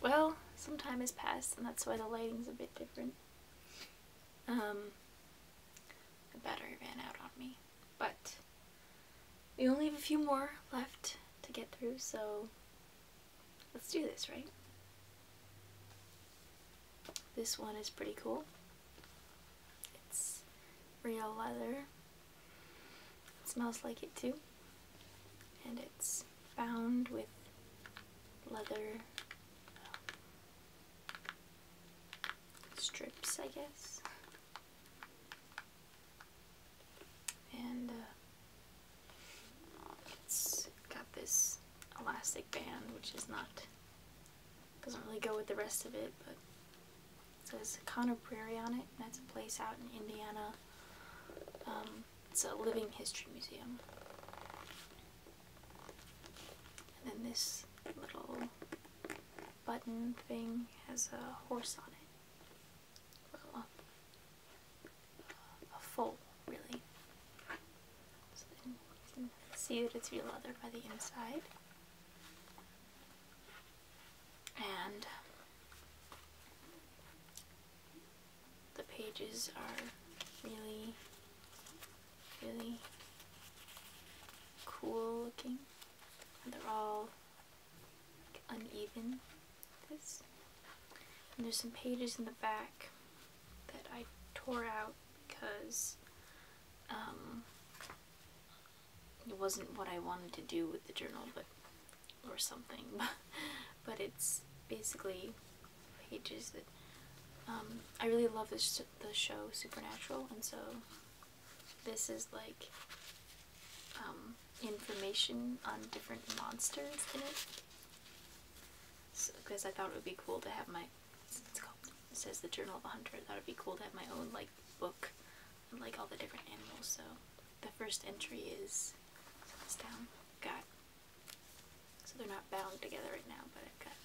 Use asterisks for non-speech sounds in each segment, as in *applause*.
Well, some time has passed and that's why the lighting's a bit different. Um, the battery ran out on me, but we only have a few more left to get through, so let's do this, right? This one is pretty cool. It's real leather. smells like it too. And it's bound with leather strips, I guess. And uh, it's got this elastic band, which is not, doesn't really go with the rest of it, but it says Connor Prairie on it, that's a place out in Indiana. Um, it's a living history museum. And then this little button thing has a horse on it. Well, a, a foal, really. So you can see that it's real leather by the inside. And the pages are really, really cool looking. And they're all uneven. This. And there's some pages in the back that I tore out because um, it wasn't what I wanted to do with the journal, but or something, *laughs* but it's basically pages that um, I really love this the show Supernatural, and so this is like um, information on different monsters in it. Because I thought it would be cool to have my it's called it says the Journal of a Hunter. I thought it'd be cool to have my own like book and like all the different animals. So the first entry is down. Got so they're not bound together right now, but I've got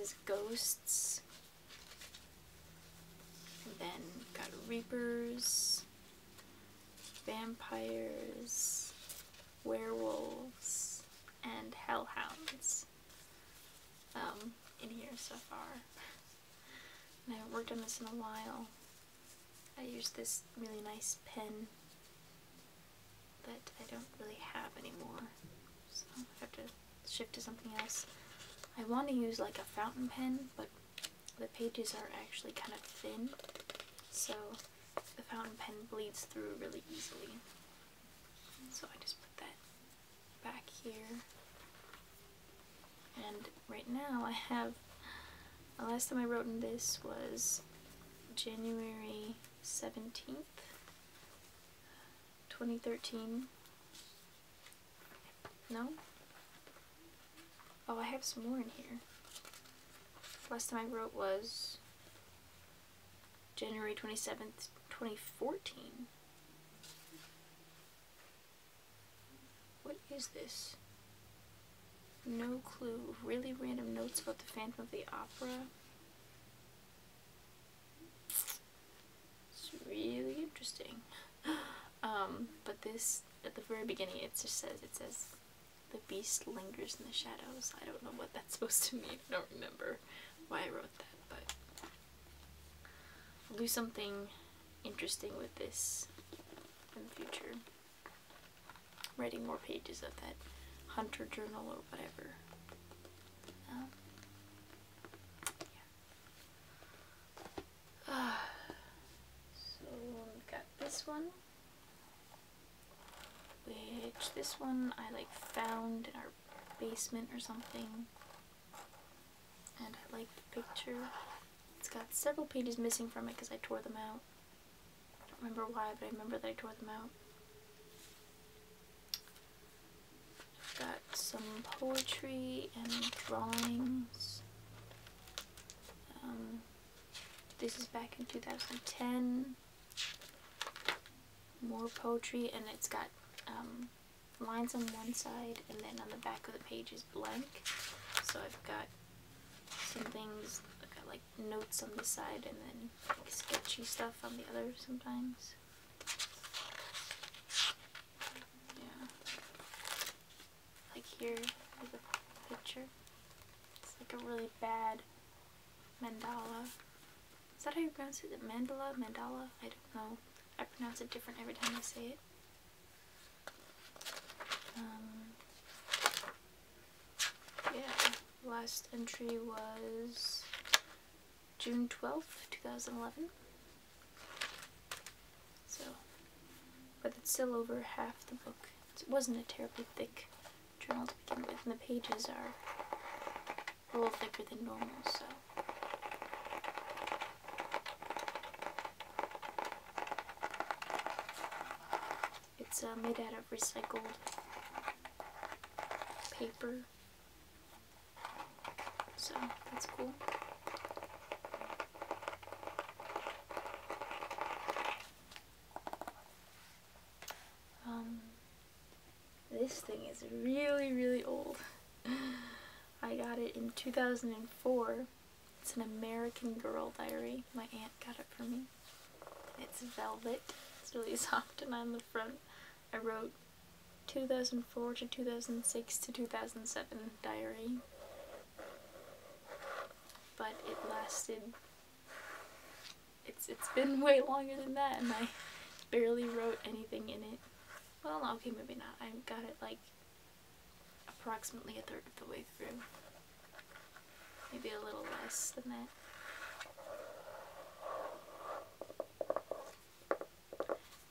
this ghosts, then got reapers, vampires, werewolves, and hellhounds. Um, in here so far. *laughs* And I haven't worked on this in a while. I use this really nice pen but I don't really have anymore, so I have to shift to something else. I want to use like a fountain pen, but the pages are actually kind of thin, so the fountain pen bleeds through really easily. So I just put that back here. And right now I have, the last time I wrote in this was January 17th, 2013. No? Oh, I have some more in here. Last time I wrote was January 27th, 2014. What is this? No clue. Really random notes about the Phantom of the Opera. It's really interesting. *gasps* Um, but this, at the very beginning, it just says, it says, the beast lingers in the shadows. I don't know what that's *laughs* supposed to mean. I don't remember why I wrote that, but I'll do something interesting with this in the future writing more pages of that hunter journal or whatever. Um, yeah. *sighs* so we got this one, which this one I like found in our basement or something, and I like the picture. It's got several pages missing from it because I tore them out. I don't remember why, but I remember that I tore them out. I've got some poetry and drawings. Um, this is back in 2010. More poetry, and it's got um, lines on one side, and then on the back of the page is blank. So I've got some things, like notes on the side and then sketchy stuff on the other sometimes. Yeah. Like there's a picture. It's like a really bad mandala. Is that how you pronounce it? Mandala? Mandala? I don't know. I pronounce it different every time I say it. Um, yeah, last entry was June 12th, 2011. So, but it's still over half the book. It wasn't a terribly thick journal to begin with, and the pages are a little thicker than normal, so. It's uh, made out of recycled paper, so that's cool. Um, this thing is really, really old. *laughs* I got it in 2004 it's an American Girl diary. My aunt got it for me. It's velvet. It's really *laughs* soft and on the front I wrote 2004 to 2006 to 2007 diary. But it lasted it's it's been *laughs* way longer than that and I barely wrote anything in it. Well, okay, maybe not. I got it like approximately a third of the way through. Maybe a little less than that.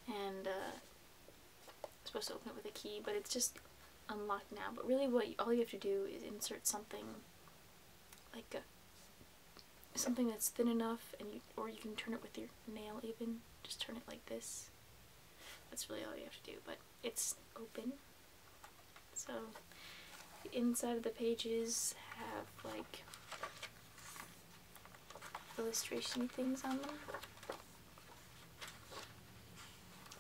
And uh, I'm supposed to open it with a key, but it's just unlocked now. But really what all you have to do is insert something like a something that's thin enough and you, or you can turn it with your nail even just turn it like this that's really all you have to do but it's open. So the inside of the pages have like illustration things on them.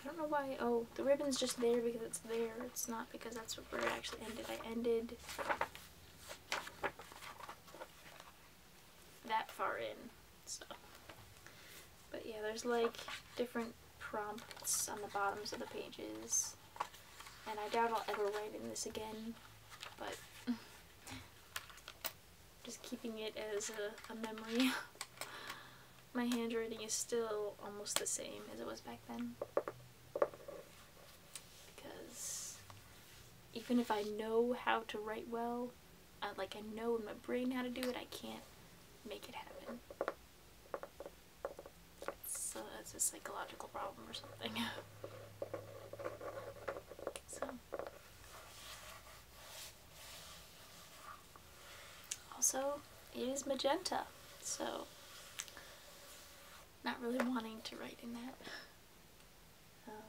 I don't know why, oh, the ribbon's just there because it's there, it's not because that's where I actually ended. I ended that far in stuff. But yeah, there's like different prompts on the bottoms of the pages. And I doubt I'll ever write in this again, but *laughs* just keeping it as a memory. *laughs* My handwriting is still almost the same as it was back then. Because even if I know how to write well, like I know in my brain how to do it, I can't make it happen. So that's a psychological problem or something. *laughs* so. Also, it is magenta, so not really wanting to write in that. Um,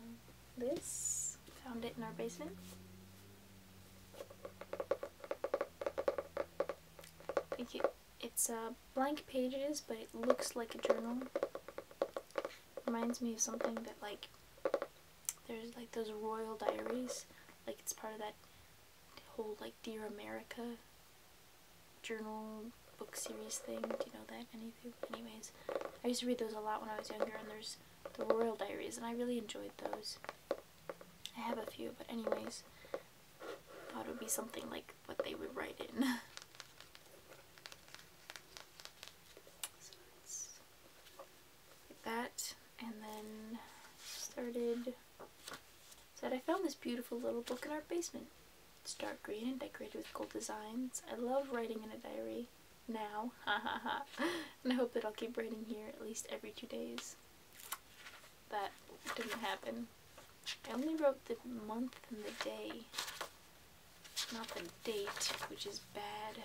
this, found it in our basement. It's uh, blank pages, but it looks like a journal. Reminds me of something that like, there's like those royal diaries. Like it's part of that whole like Dear America journal book series thing. Do you know that? Anyways, I used to read those a lot when I was younger and there's the royal diaries and I really enjoyed those. I have a few, but anyways, thought it would be something like what they would write in. *laughs* so it's like that, and then started. Said I found this beautiful little book in our basement. It's dark green and decorated with gold designs. I love writing in a diary now. *laughs* Ha ha ha and I hope that I'll keep writing here at least every two days. That didn't happen. I only wrote the month and the day, not the date, which is bad.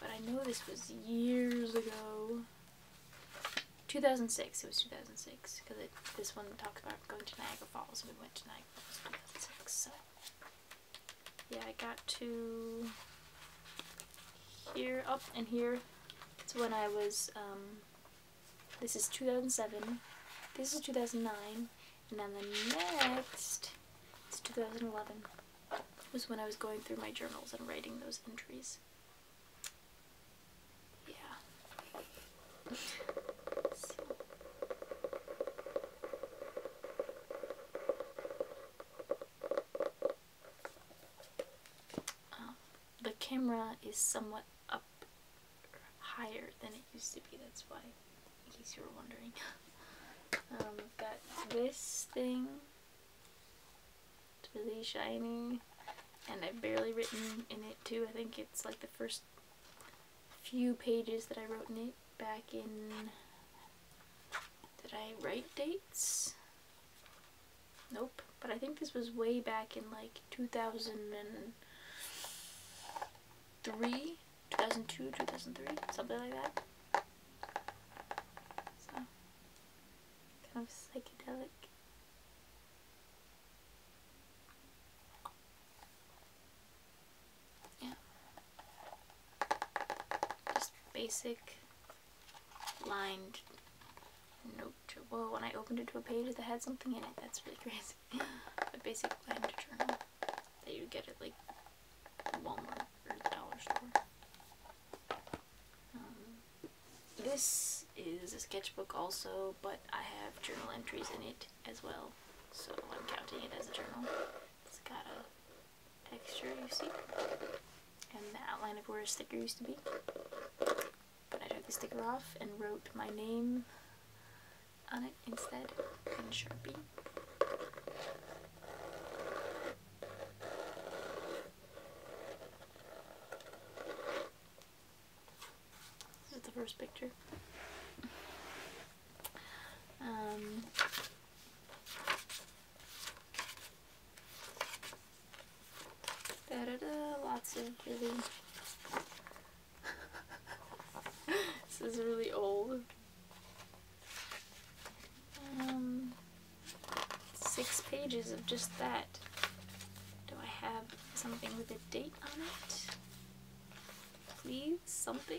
But I know this was years ago. 2006, it was 2006, because this one talks about going to Niagara Falls, and we went to Niagara Falls in 2006, yeah, I got to here, up and here. It's when I was, um, this is 2007, this is 2009, and then the next it's 2011. was when I was going through my journals and writing those entries. Yeah. Um, the camera is somewhat up higher than it used to be, that's why, in case you were wondering. I've *laughs* got um, this thing. It's really shiny, and I've barely written in it too. I think it's like the first few pages that I wrote in it back in did I write dates? Nope. But I think this was way back in like 2003, 2002, 2003, something like that. So, kind of psychedelic. Yeah. Just basic lined note. Well, when I opened it to a page that had something in it, that's really *laughs* crazy. a basic lined journal that you get at like Walmart or the dollar store. Um, this is a sketchbook also, but I have journal entries in it as well, so I'm counting it as a journal. It's got a texture you see and the outline of where a sticker used to be. But I took the sticker off and wrote my name on it instead in Sharpie. This is the first picture. Um, Da lots of really... *laughs* this is really old. Um, six pages of just that. Do I have something with a date on it? Please, something?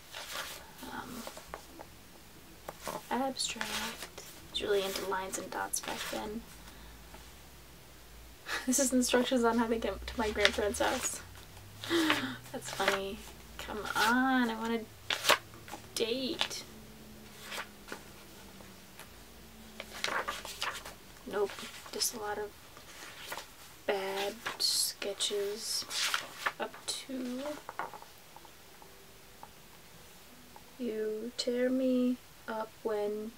Um, abstract. really into lines and dots back then. *laughs* This is instructions on how to get to my grandparents' house. *gasps* That's funny. Come on, I want to date. Nope, just a lot of bad sketches up to you tear me up when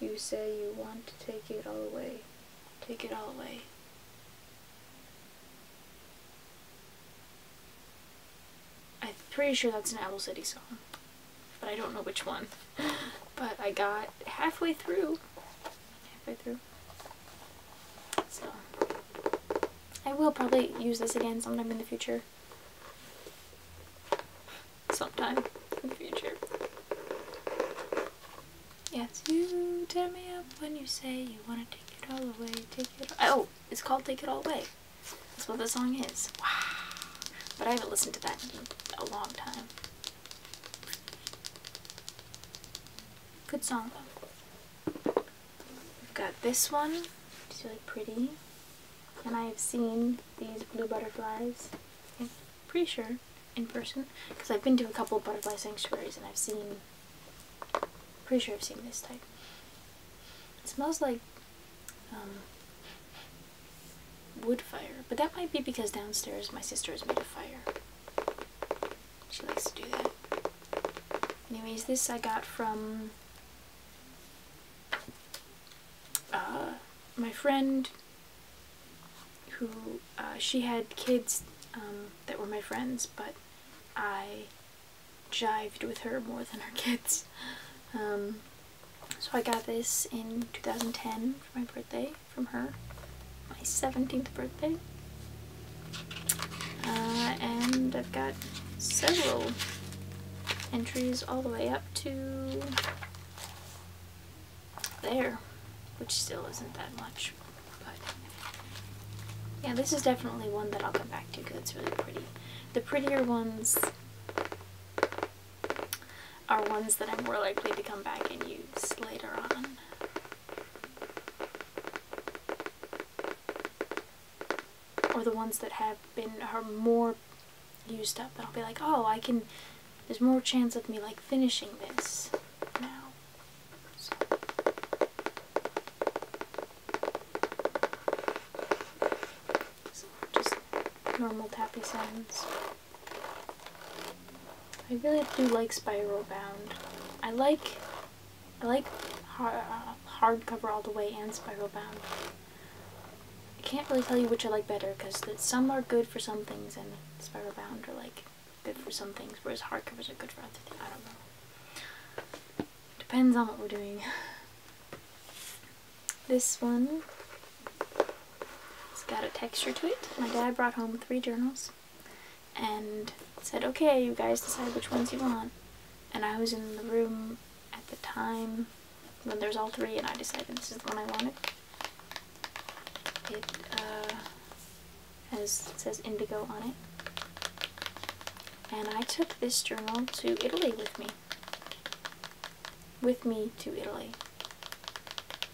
you say you want to take it all away. Take it all away. I'm pretty sure that's an Apple City song, but I don't know which one. *laughs* but I got halfway through. Halfway through. So, I will probably use this again sometime in the future. Sometime in the future. Yes, you tear me up when you say you want to take it all away, take it all Oh, it's called Take It All Away. That's what the song is. Wow. But I haven't listened to that in a long time. Good song, though. We've got this one, it's really pretty. And I have seen these blue butterflies, I'm pretty sure, in person. Because I've been to a couple butterfly sanctuaries and I've seen, pretty sure I've seen this type. It smells like um, wood fire, but that might be because downstairs my sister has made a fire. She likes to do that. Anyways, this I got from uh, my friend who, uh, she had kids um, that were my friends, but I jived with her more than her kids. Um, so I got this in 2010 for my birthday from her, my 17th birthday. Uh, and I've got several entries all the way up to there, which still isn't that much. But yeah, this is definitely one that I'll come back to because it's really pretty. The prettier ones are ones that I'm more likely to come back and use later on or the ones that have been are more used up. That I'll be like, oh, I can. There's more chance of me like finishing this now. so just normal tappy sounds. I really do like spiral bound. I like I like hard, uh, hardcover all the way and spiral bound. I can't really tell you which I like better because some are good for some things and spiral bound are like good for some things, whereas hardcovers are good for other things. I don't know. Depends on what we're doing. *laughs* This one it's got a texture to it. My dad brought home three journals and said, okay, you guys decide which ones you want. And I was in the room at the time when there's all three, and I decided this is the one I wanted. It uh, has says indigo on it. And I took this journal to Italy with me. With me to Italy.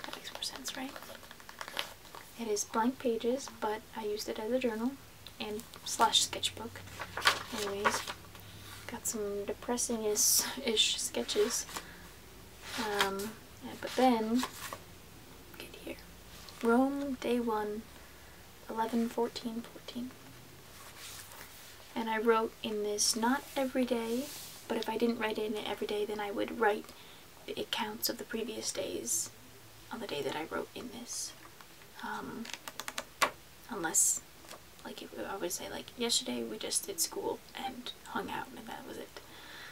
That makes more sense, right? It is blank pages, but I used it as a journal and slash sketchbook. Anyways, got some depressing-ish sketches. Um, but then, get here. Rome, day one, 11, 14, 14. And I wrote in this, not every day, but if I didn't write in it every day, then I would write the accounts of the previous days on the day that I wrote in this. Um, unless like I would say like yesterday we just did school and hung out and that was it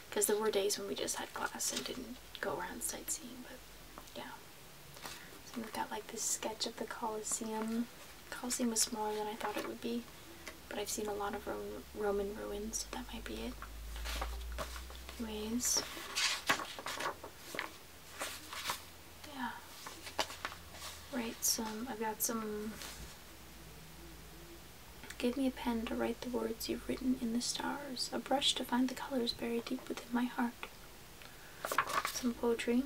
because there were days when we just had class and didn't go around sightseeing but yeah so we've got like this sketch of the Colosseum Colosseum was smaller than I thought it would be but I've seen a lot of Roman ruins so that might be it anyways yeah. Write some, I've got some, give me a pen to write the words you've written in the stars, a brush to find the colors buried deep within my heart. Some poetry.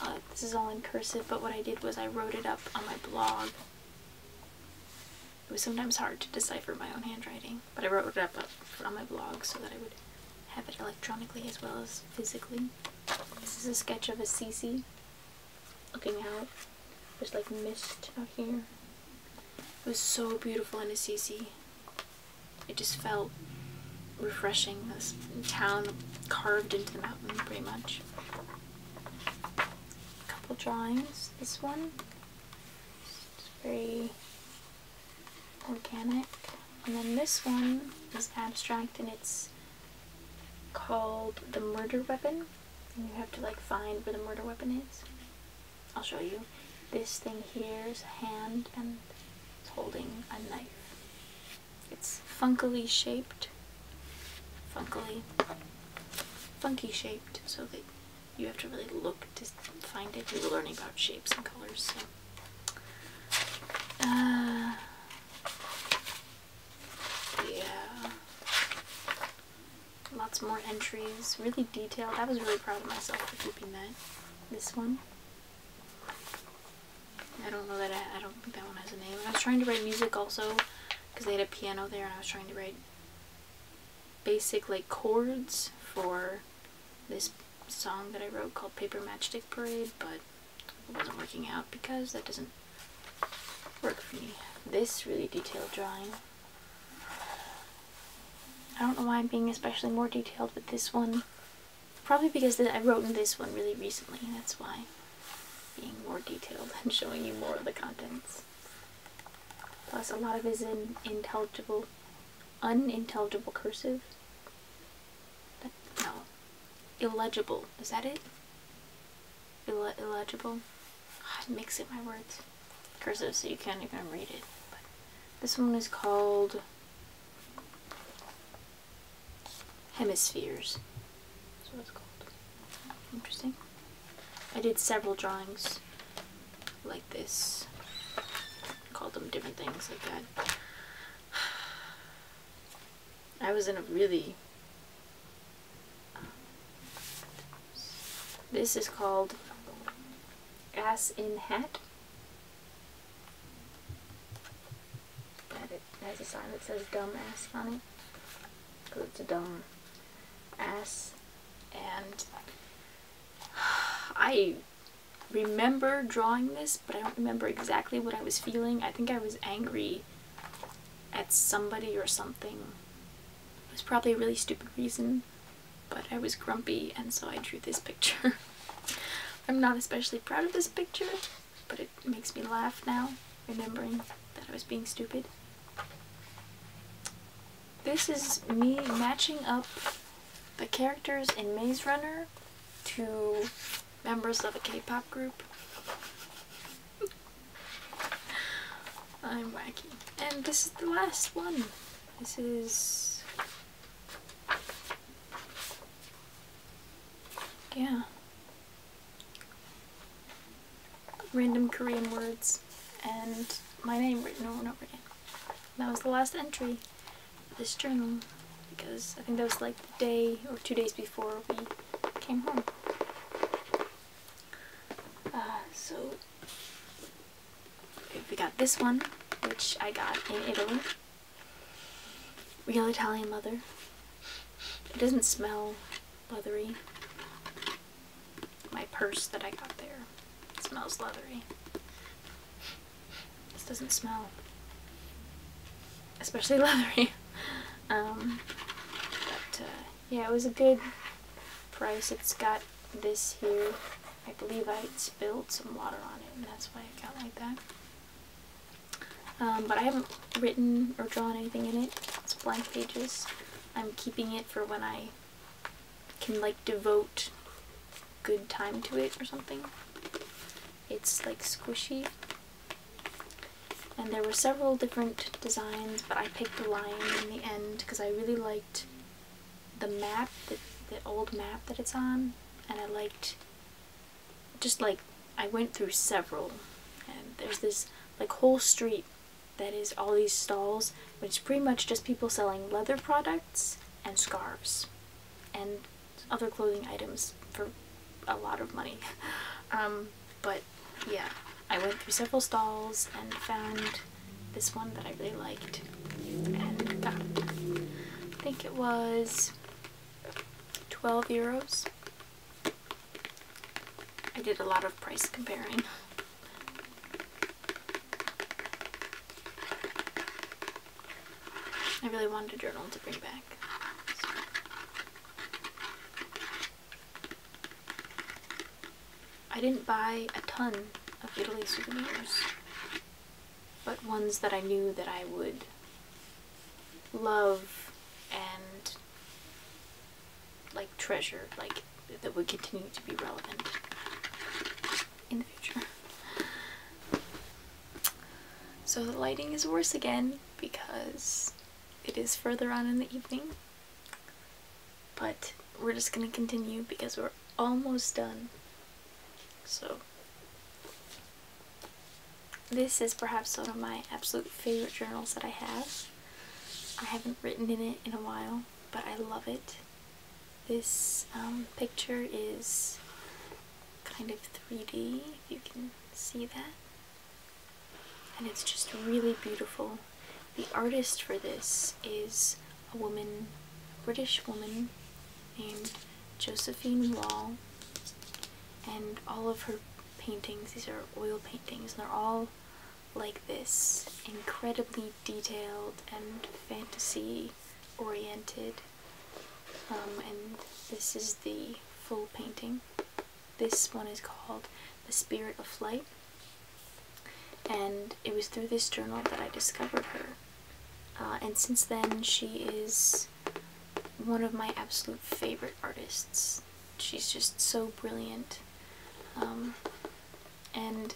Uh, this is all in cursive, but what I did was I wrote it up on my blog. It was sometimes hard to decipher my own handwriting but I wrote it up on my blog so that I would have it electronically as well as physically. This is a sketch of a CC looking out. There's like mist out here. It was so beautiful in Assisi. It just felt refreshing, this town carved into the mountain pretty much. A couple drawings. This one, it's organic. And then this one is abstract and it's called The Murder Weapon. And you have to like find where the murder weapon is. I'll show you. This thing here is a hand and it's holding a knife. It's funkily shaped. Funkily. Funky shaped, so they you have to really look to find it. We were learning about shapes and colors. So. Uh, yeah. Lots more entries. Really detailed. I was really proud of myself for keeping that. This one. I don't know that I, I don't think that one has a name. I was trying to write music also because they had a piano there and I was trying to write basic like chords for this song that I wrote called Paper Matchstick Parade, but it wasn't working out because that doesn't work for me. This really detailed drawing. I don't know why I'm being especially more detailed with this one. Probably because I wrote this one really recently, that's why being more detailed *laughs* and showing you more of the contents. Plus a lot of it is in intelligible unintelligible cursive. That, no, illegible. Is that it? illegible. Oh, I mix it my words. Cursive, so you can't even read it. this one is called hemispheres. That's what it's called. Interesting. I did several drawings like this. Called them different things like that. *sighs* I was in a really... Um, this is called Ass in Hat. That it has a sign that says dumb ass funny, Because it's a dumb ass. And *sighs* I remember drawing this, but I don't remember exactly what I was feeling. I think I was angry at somebody or something. It was probably a really stupid reason, but I was grumpy and so I drew this picture. *laughs* I'm not especially proud of this picture, but it makes me laugh now, remembering that I was being stupid. This is me matching up the characters in Maze Runner to members of a K-pop group. *laughs* I'm wacky. And this is the last one. This is... Yeah. Random Korean words and my name written over and over again that was the last entry of this journal because I think that was like the day or two days before we came home. Uh, so we got this one, which I got in Italy. Real Italian leather. It doesn't smell leathery. My purse that I got there it smells leathery. This doesn't smell especially *laughs* leathery. Um, but uh, yeah, it was a good price. It's got this here. I believe I spilled some water on it, and that's why it got like that. Um, but I haven't written or drawn anything in it. It's blank pages. I'm keeping it for when I can like devote good time to it or something. It's like squishy. And there were several different designs, but I picked the lion in the end because I really liked the map, the, the old map that it's on, and I liked just like I went through several and there's this like whole street that is all these stalls which is pretty much just people selling leather products and scarves and other clothing items for a lot of money. *laughs* Um, but yeah, I went through several stalls and found this one that I really liked and I think it was 12 euros. I did a lot of price comparing. I really wanted a journal to bring back. I didn't buy a ton of Italy souvenirs, but ones that I knew that I would love and like treasure, like that would continue to be relevant in the future. So the lighting is worse again because it is further on in the evening. But we're just gonna continue because we're almost done. So this is perhaps one of my absolute favorite journals that I have. I haven't written in it in a while, but I love it. This um, picture is kind of 3D, if you can see that. And it's just really beautiful. The artist for this is a woman, a British woman, named Josephine Wall. And all of her paintings, these are oil paintings, and they're all like this incredibly detailed and fantasy oriented um, and this is the full painting this one is called the spirit of flight and it was through this journal that i discovered her uh, and since then she is one of my absolute favorite artists she's just so brilliant um, and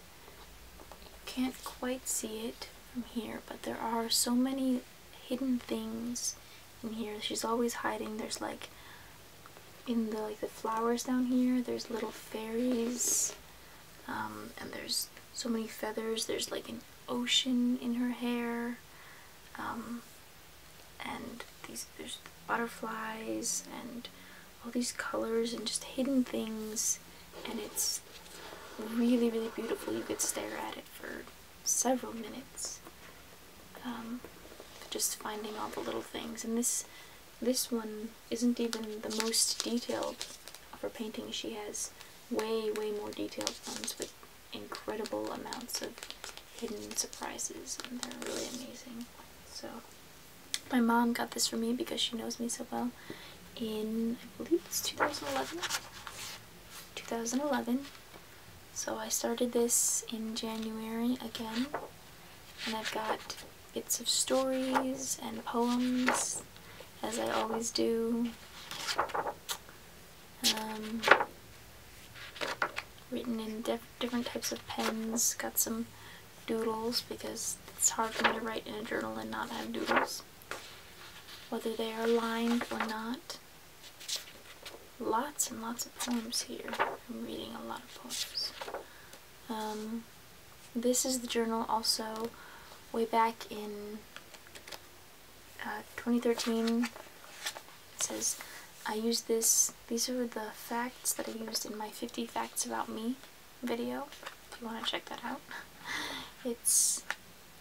you can't quite see it from here, but there are so many hidden things in here. She's always hiding. There's like in the like the flowers down here, there's little fairies. Um, and there's so many feathers. There's like an ocean in her hair. Um, and these there's butterflies and all these colors and just hidden things and it's really really beautiful you could stare at it for several minutes um, just finding all the little things and this this one isn't even the most detailed of her paintings she has way way more detailed ones with incredible amounts of hidden surprises and they're really amazing so my mom got this for me because she knows me so well in, I believe it's 2011. 2011. So I started this in January again. And I've got bits of stories and poems, as I always do. Um, written in different types of pens. Got some doodles because it's hard for me to write in a journal and not have doodles. Whether they are lined or not. Lots and lots of poems here. I'm reading a lot of poems. Um, this is the journal also way back in uh, 2013. It says, I used this, these are the facts that I used in my 50 facts about me video if you want to check that out. *laughs* It's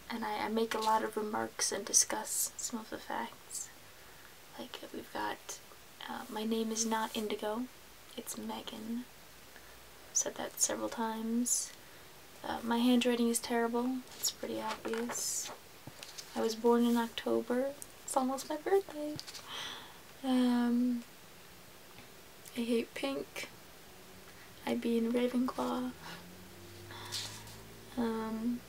and I, make a lot of remarks and discuss some of the facts. Like we've got uh, my name is not Indigo, it's Megan. said that several times. Uh, my handwriting is terrible. It's pretty obvious. I was born in October. It's almost my birthday. Um, I hate pink. I'd be in Ravenclaw. Um,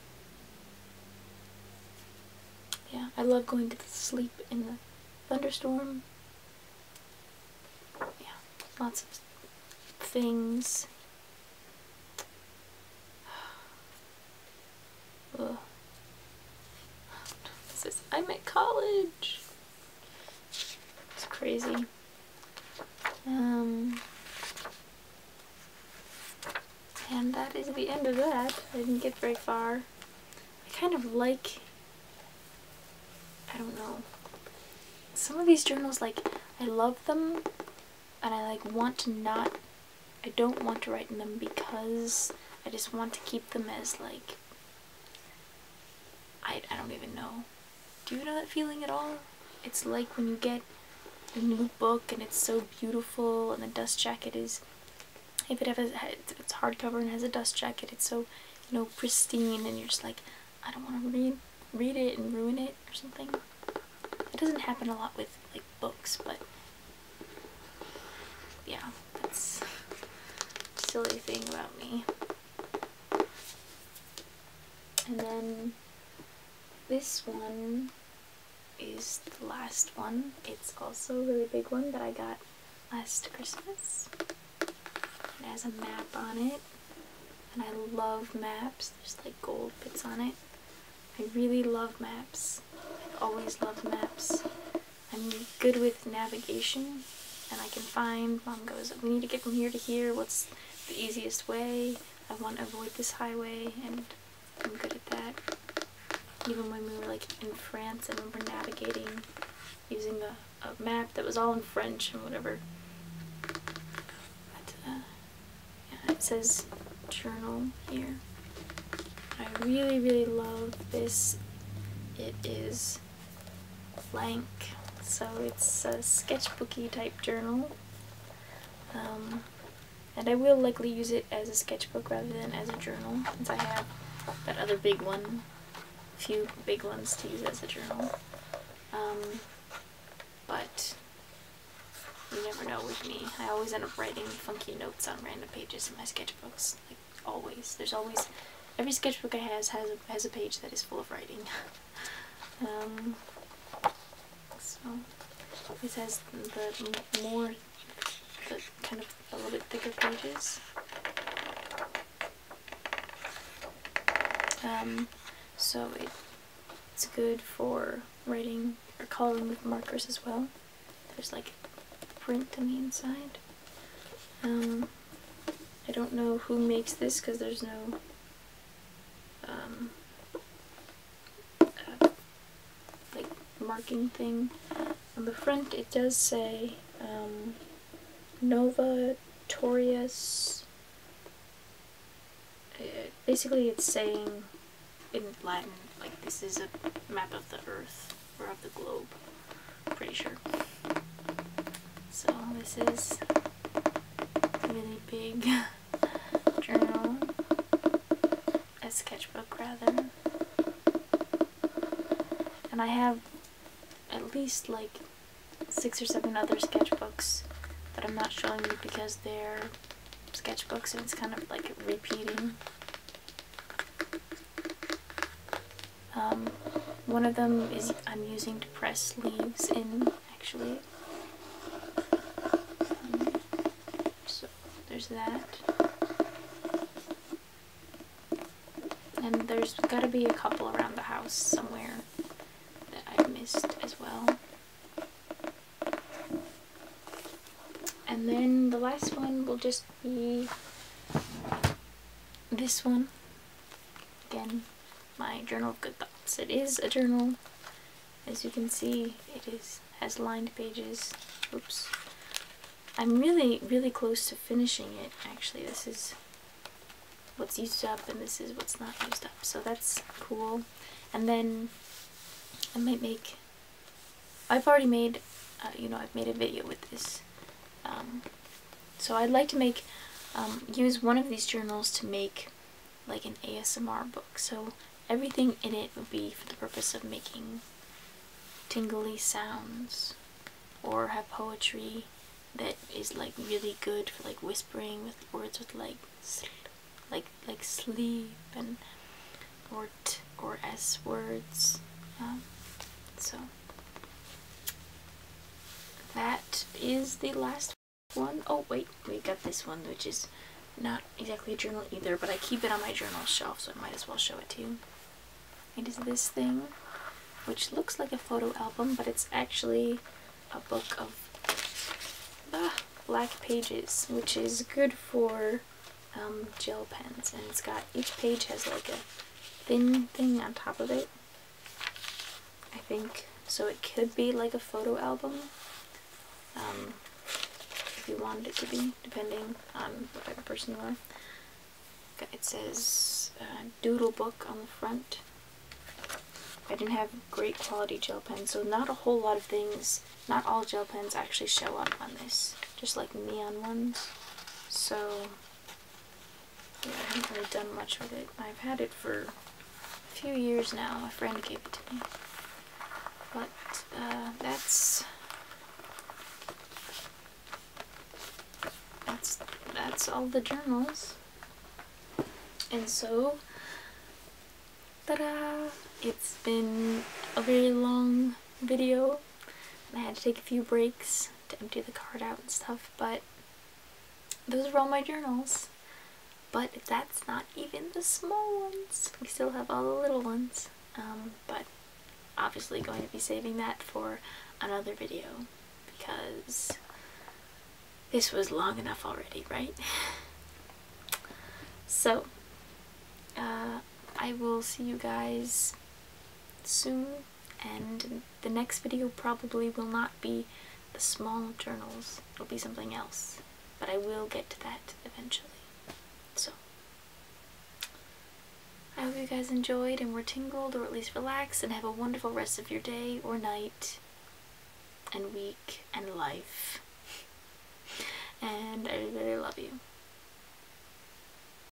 yeah, I love going to sleep in the thunderstorm. Yeah, lots of things. *sighs* This is, I'm at college. It's crazy. Um, and that is the end of that. I didn't get very far. I kind of like, I don't know, some of these journals, like, I love them, and I, like, want to not, I don't want to write in them because I just want to keep them as, like, I, I don't even know. Do you know that feeling at all? It's like when you get a new book and it's so beautiful and the dust jacket is, if it has, it's hardcover and has a dust jacket, it's so, you know, pristine and you're just like, I don't want to read, read it and ruin it or something. It doesn't happen a lot with, like, books, but, yeah. That's a silly thing about me. And then this one is the last one. It's also a really big one that I got last Christmas. It has a map on it. And I love maps. There's like gold bits on it. I really love maps. I've always loved maps. I'm good with navigation, and I can find, mom goes, we need to get from here to here, what's the easiest way, I want to avoid this highway, and I'm good at that. Even when we were like in France, and we were navigating using a, a map that was all in French and whatever. But, uh, yeah, it says journal here. I really, really love this. It is blank. So it's a sketchbooky type journal. Um, and I will likely use it as a sketchbook rather than as a journal, since I have that other big one, a few big ones to use as a journal. Um, but you never know with me. I always end up writing funky notes on random pages in my sketchbooks always. There's always every sketchbook I has has a, has a page that is full of writing. *laughs* Um, so this has the more the kind of a little bit thicker pages. Um, so it, it's good for writing or coloring with markers as well. There's like print on the inside. Um, I don't know who makes this because there's no um, uh, like marking thing. On the front it does say um, Nova Torius. Uh, basically it's saying in Latin like this is a map of the earth or of the globe. pretty sure. So this is a really big *laughs* journal, a sketchbook rather. And I have at least like six or seven other sketchbooks that I'm not showing you because they're sketchbooks and it's kind of like repeating. Um, one of them is I'm using to press leaves in, actually. Um, so there's that. And there's gotta be a couple around the house somewhere that I've missed as well. And then the last one will just be this one. Again, my journal of good thoughts. It is a journal. As you can see, it is has lined pages. Oops. I'm really, really close to finishing it, actually. This is what's used up and this is what's not used up. So that's cool. And then I might make... I've already made, uh, you know, I've made a video with this. Um, so I'd like to make, um, use one of these journals to make like an ASMR book. So everything in it would be for the purpose of making tingly sounds or have poetry that is like really good for like whispering with words with like like like sleep and or or s words um, so that is the last one. Oh, wait, we got this one, which is not exactly a journal either, but I keep it on my journal shelf, so I might as well show it to you. It is this thing, which looks like a photo album, but it's actually a book of ah, black pages, which is good for um, gel pens. And it's got, each page has like a thin thing on top of it. I think. So it could be like a photo album. Um, if you wanted it to be, depending on what type of person you are. It says uh, doodle book on the front. I didn't have great quality gel pens, so not a whole lot of things, not all gel pens actually show up on this, just like neon ones. So yeah, I haven't really done much with it. I've had it for a few years now. A friend gave it to me. But uh, that's that's that's all the journals. And so, ta-da! It's been a very long video I had to take a few breaks to empty the card out and stuff, but those are all my journals. But that's not even the small ones. We still have all the little ones, um, but obviously going to be saving that for another video because this was long enough already, right? *laughs* So, uh, I will see you guys soon and the next video probably will not be the small journals, it'll be something else, but I will get to that eventually. So, I hope you guys enjoyed and were tingled or at least relaxed and have a wonderful rest of your day or night and week and life. *laughs* And I really love you.